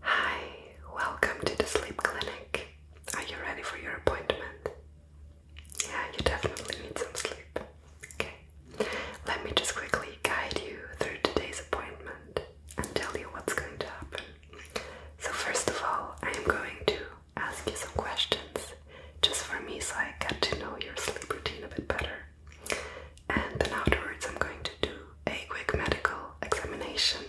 Hi, welcome to the sleep clinic. Are you ready for your appointment? Yeah, you definitely need some sleep. Okay, let me just quickly guide you through today's appointment and tell you what's going to happen. So, first of all, I am going to ask you some questions just for me so I get to know your sleep routine a bit better and then afterwards I'm going to do a quick medical examination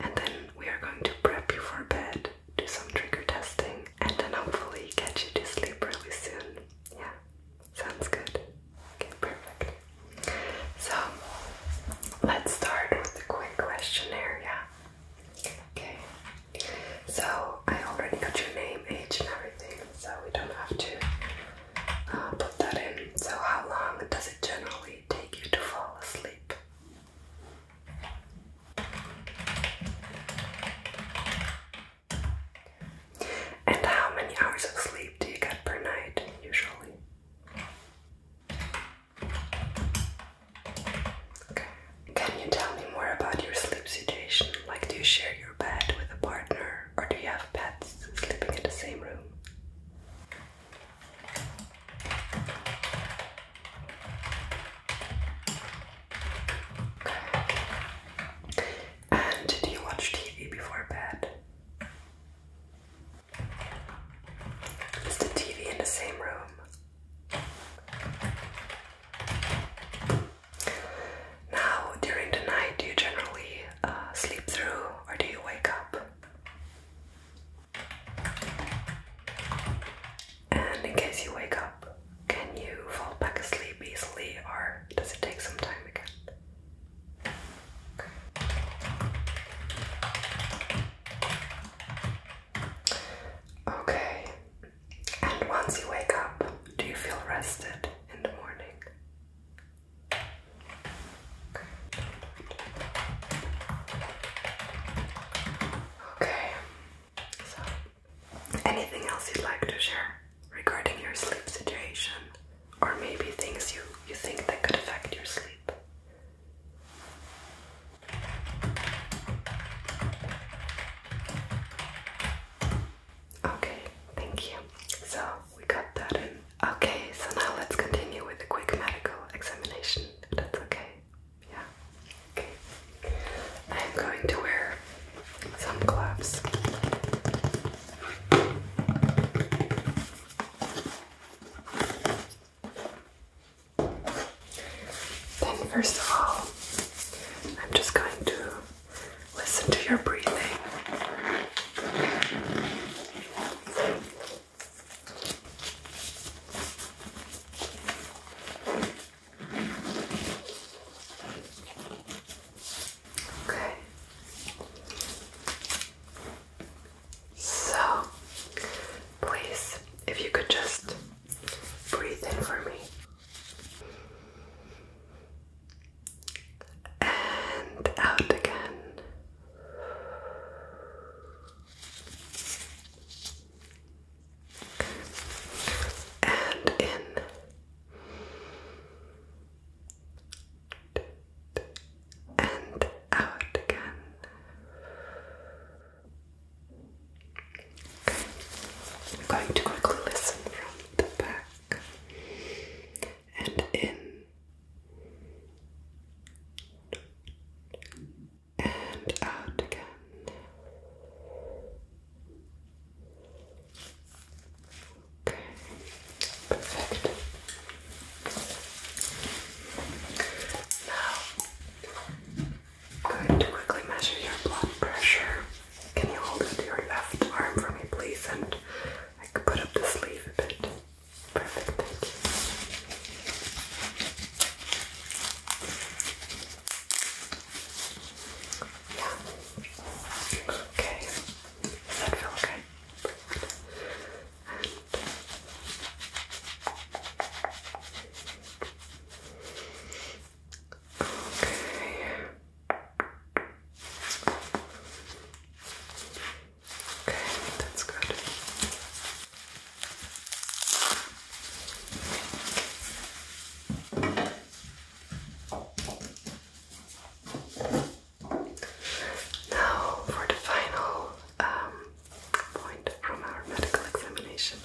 and then we are going to prep you for bed, do some trigger testing and then hopefully get you to sleep really soon. Yeah, sounds good. Okay, perfect. So let's start with the quick questionnaire, yeah. Okay. So I already got your name, age and everything, so we don't have to uh, put that in. So, how long does it generally take you to fall asleep? And how many hours of sleep do you get per night usually? Okay. Can you tell me more about your sleep situation? Like, do you share your bed with a partner or do you have pets sleeping in the same room? And do you watch TV before bed? Is the TV in the same room? Now, during the night, you generally uh, sleep through or do you wake up? And in case you wake up, can you fall back asleep easily or does it take some time again? Okay, and once you wake up, do you feel rested in the morning? Okay, so anything else you'd like to share regarding your sleep situation, or maybe things you, you think that could affect your sleep? Okay, thank you. So, we cut that in. Okay, so now let's continue with a quick medical examination, that's okay. Yeah. Okay. I'm going to wear some gloves. Then, first of all, I'm just going to Listen to your breathing. Okay. So, please, if you could just breathe in for me and out again. And in. And out again. Okay. I'm going to quickly listen from the back and in and out again. Okay, perfect. Now, going to quickly measure your blood pressure. Can you hold it your left arm for me, please? And I could put up the sleeve a bit. Perfect, Yeah. Okay. Does that feel okay? Okay. Okay, that's good. Now for the final um, point from our medical examination,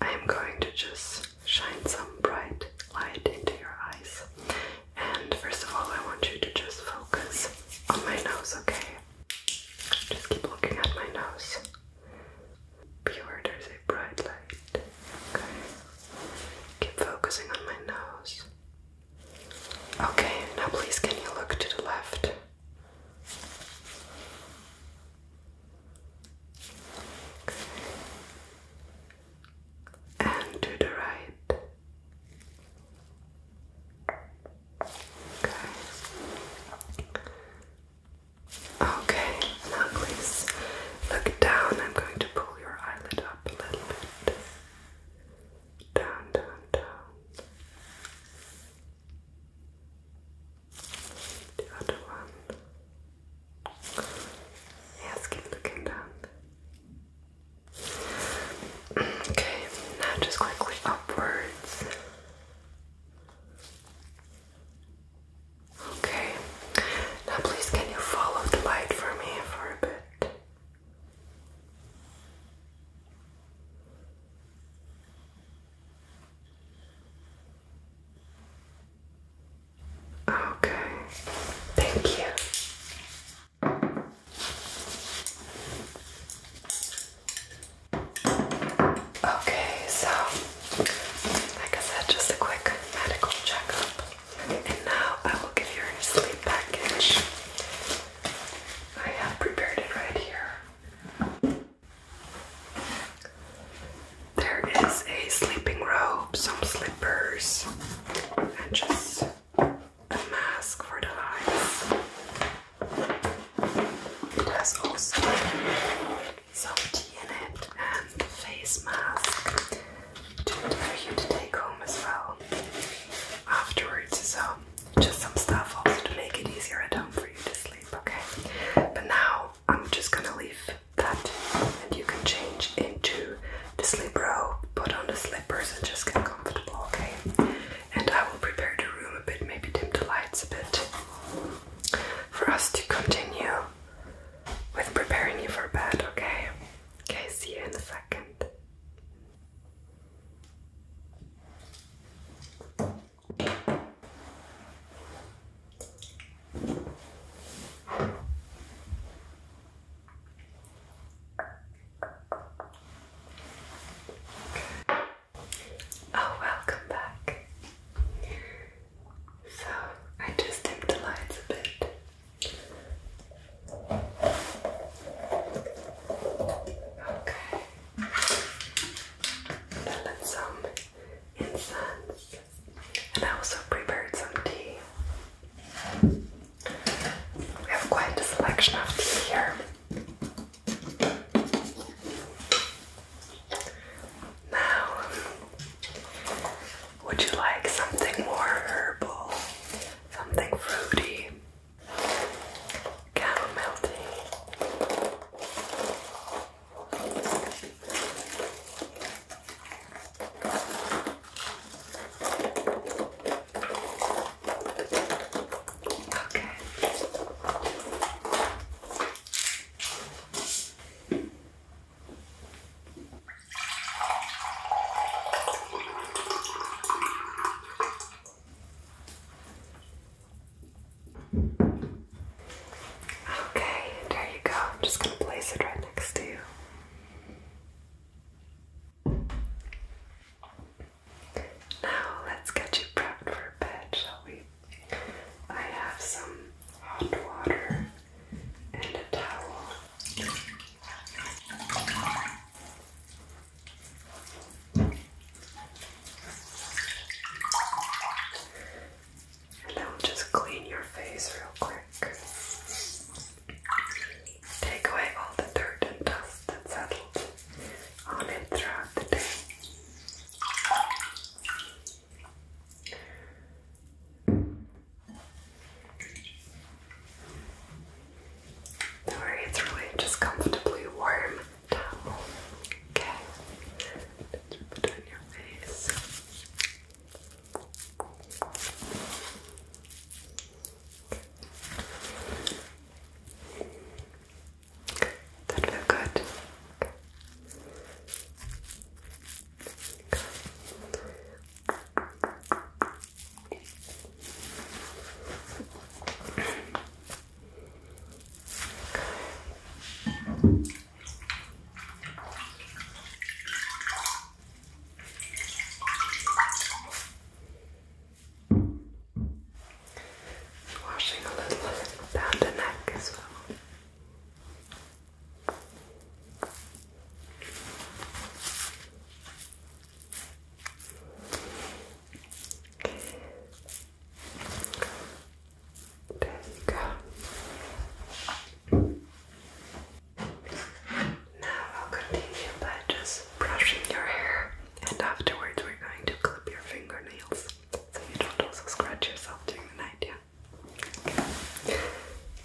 I am going to just shine some bright light into your eyes and first of all, I want you to just focus on my nose, okay? Just keep looking at my nose. Pure, there's a bright light. Okay. Keep focusing on my nose. Okay, now please can you look to the left? and to the right. Okay. Okay, now please look down. I'm going to pull your eyelid up a little bit. Down, down, down. The other one. Yes, keep looking down. Okay, now just quickly upwards. Okay, now please can you follow the light for me for a bit? Okay, thank you. Okay, so like I said, just a quick medical checkup, and now I will give you your sleep package. I have prepared it right here. There is a sleeping robe, some sleeping clippers, and just a mask for the eyes. It has also some tea in it and a face mask to, for you to take home as well afterwards. So, just some stuff also to make it easier at home for you to sleep, okay? But now I'm just gonna leave that and you can change into to sleep bro. put on the slippers, and just get comfortable, okay? And I will prepare the room a bit, maybe dim the lights a bit for us to continue with preparing you for bed, okay? Okay, see you in a second. Oh, welcome back. So, I just dimmed the lights a bit. Okay. Then let some um, incense. And I also prepared some tea. We have quite a selection of tea here. Now, would you like something more herbal? Something fruity? Chamomile tea? Okay. Okay, there you go. I'm just going to place it right next to you. Now let's get you prepped for bed, shall we? I have some hot water and a towel. And I'll just clean your face real quick. Take away all the dirt and dust that settled on it throughout the day. do it's really just comfortably warm towel. Okay, put your face. That look good. Washing a little down the neck as well. There you go. Now I'll continue by just brushing your hair and afterwards we're going to clip your fingernails so you don't also scratch yourself during the night, yeah?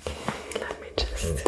Okay, let me just...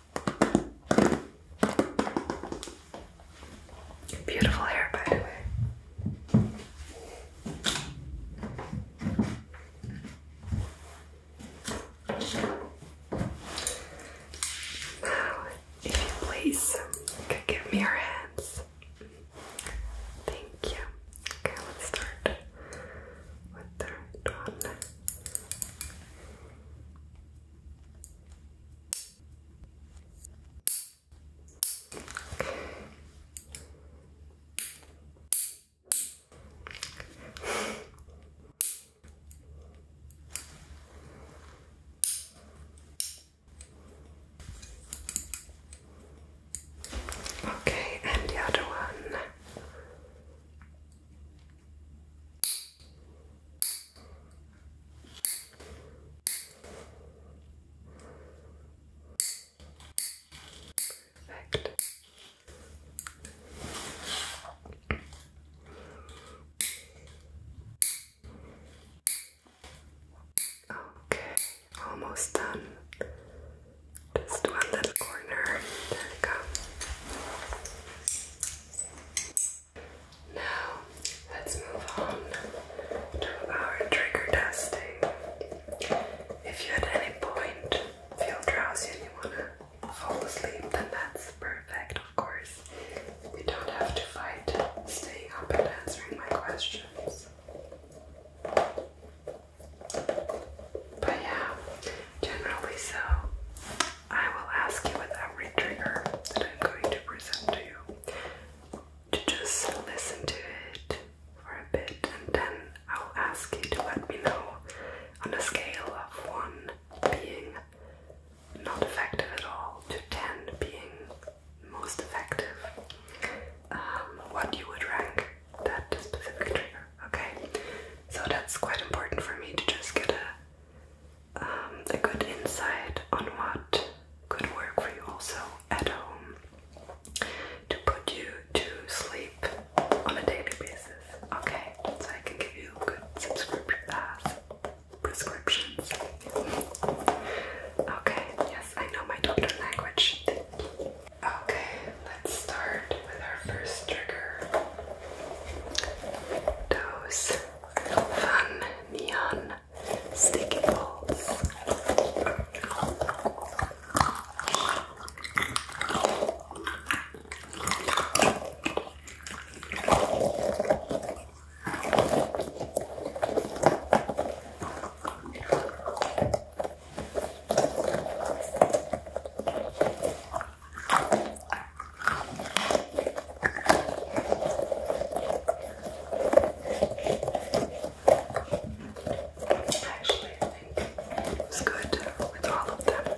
Beautiful hair, by the way. if you please, you um, give me your hands. Thank you. Okay, let's start with the right one. Okay, and the other one. Perfect. Okay, almost done. Just one little corner. There we go. Now, let's move on to our trigger testing. If you at any point feel drowsy and you wanna fall asleep, then that's perfect, of course. You don't have to fight staying up and answering my questions. But yeah, generally so. I will ask you with every trigger that I'm going to present to you to just listen to it for a bit and then I'll ask you to let me know on a scale of 1 being not effective at all to 10 being most effective um, what you would rank that specific trigger, okay? So that's quite important for me to just get a um, a good insight on what could work for you also at home to put you to sleep on a daily basis. Okay, so I can give you good subscription uh, prescriptions. Okay, yes, I know my doctor language. Okay, let's start with our first trigger those fun neon sticky balls. Actually, I think it's good with all of them.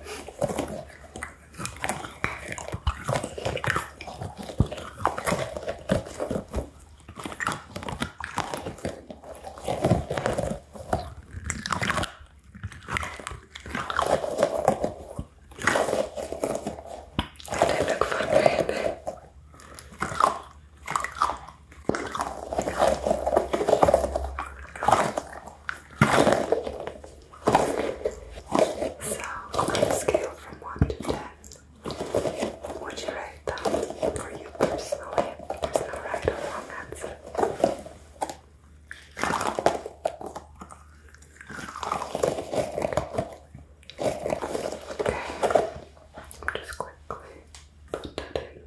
They don't they? So, on a scale from 1 to 10, would you rate them for you personally? There's no right or wrong answer. I'm just quickly put that in. Okay.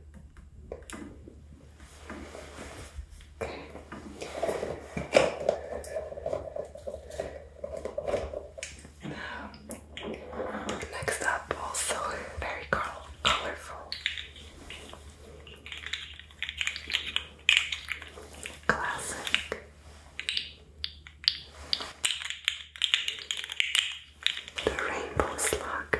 Now, next up, also very colorful, Classic. The rainbow slug.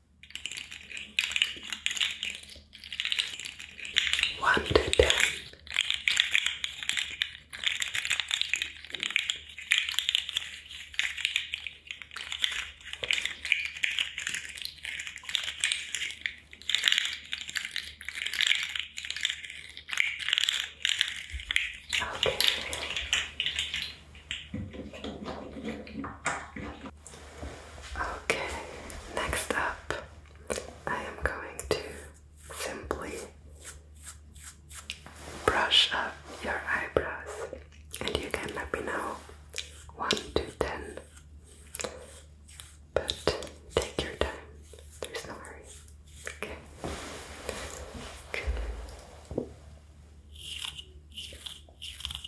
One to ten. Okay. Okay, next up, I am going to simply brush up your eyebrows, and you can let me know 1 to 10. But take your time, there's no hurry. Okay.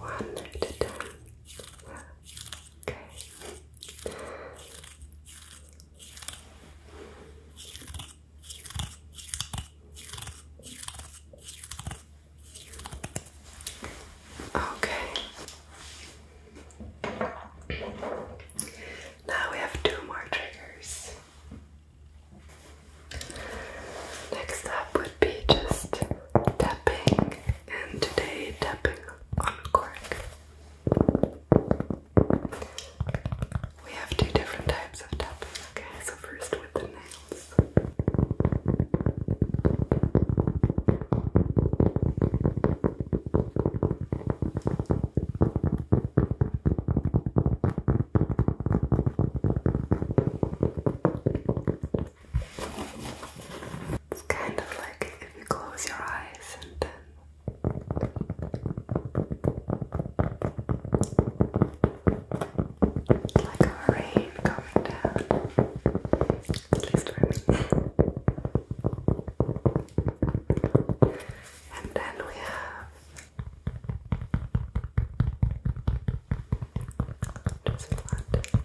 One at a Okay. Okay. Now we have two more triggers. Next up would be just tapping, and today tapping on cork. We have two different types of tapping, okay? So, first with the nails. It's kind of like if you close your eyes and then like a rain coming down. At least for me. and then we have just flat tapping.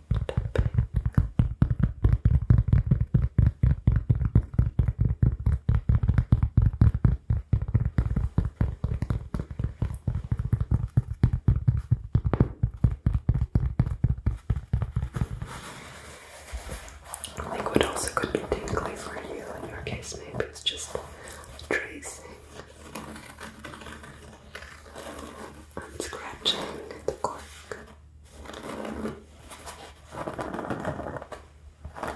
Like also could be tingly for you in your case, maybe it's just tracing and scratching the cork. Okay,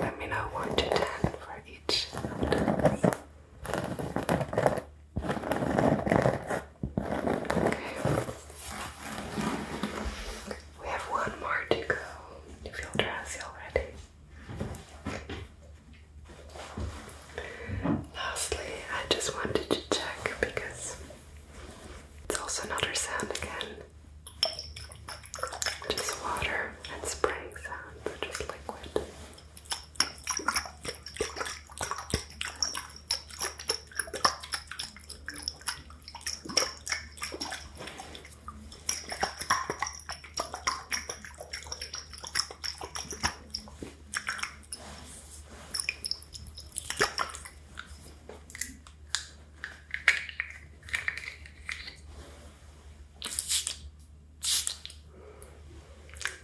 let me know one to ten for each sentence. Okay. We have one more to go. You feel drowsy already? Lastly, I just wanted to check because it's also another sound again. Just water and spraying sounds, or just liquid.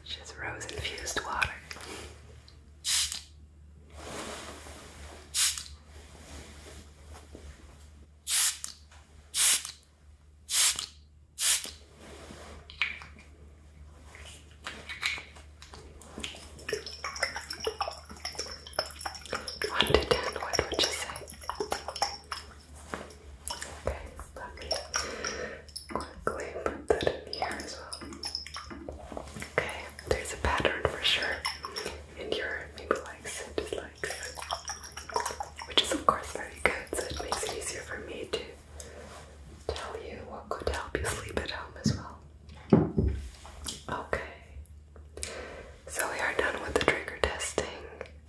Just rose infused water. One to ten, what would you say? Okay, let me quickly put that in here as well. Okay, there's a pattern for sure. And your maybe likes and dislikes. Which is of course very good, so it makes it easier for me to tell you what could help you sleep at home as well. Okay, so we are done with the trigger testing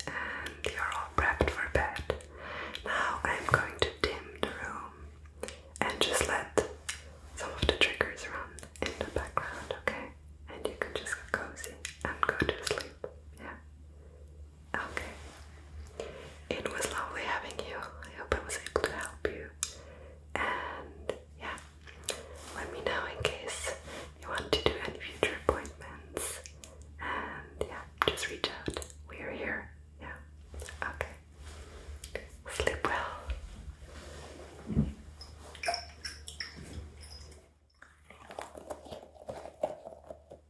and you're all prepped for bed. Now I'm going to dim the room and just let some of the triggers run in the background, okay? And you can just cozy and go to sleep. Yeah. Okay. It was lovely having you. I hope I was able to help you. And yeah, let me know in case you want to do any future appointments. And yeah, just reach out. We are here. Yeah. Okay. Sleep well.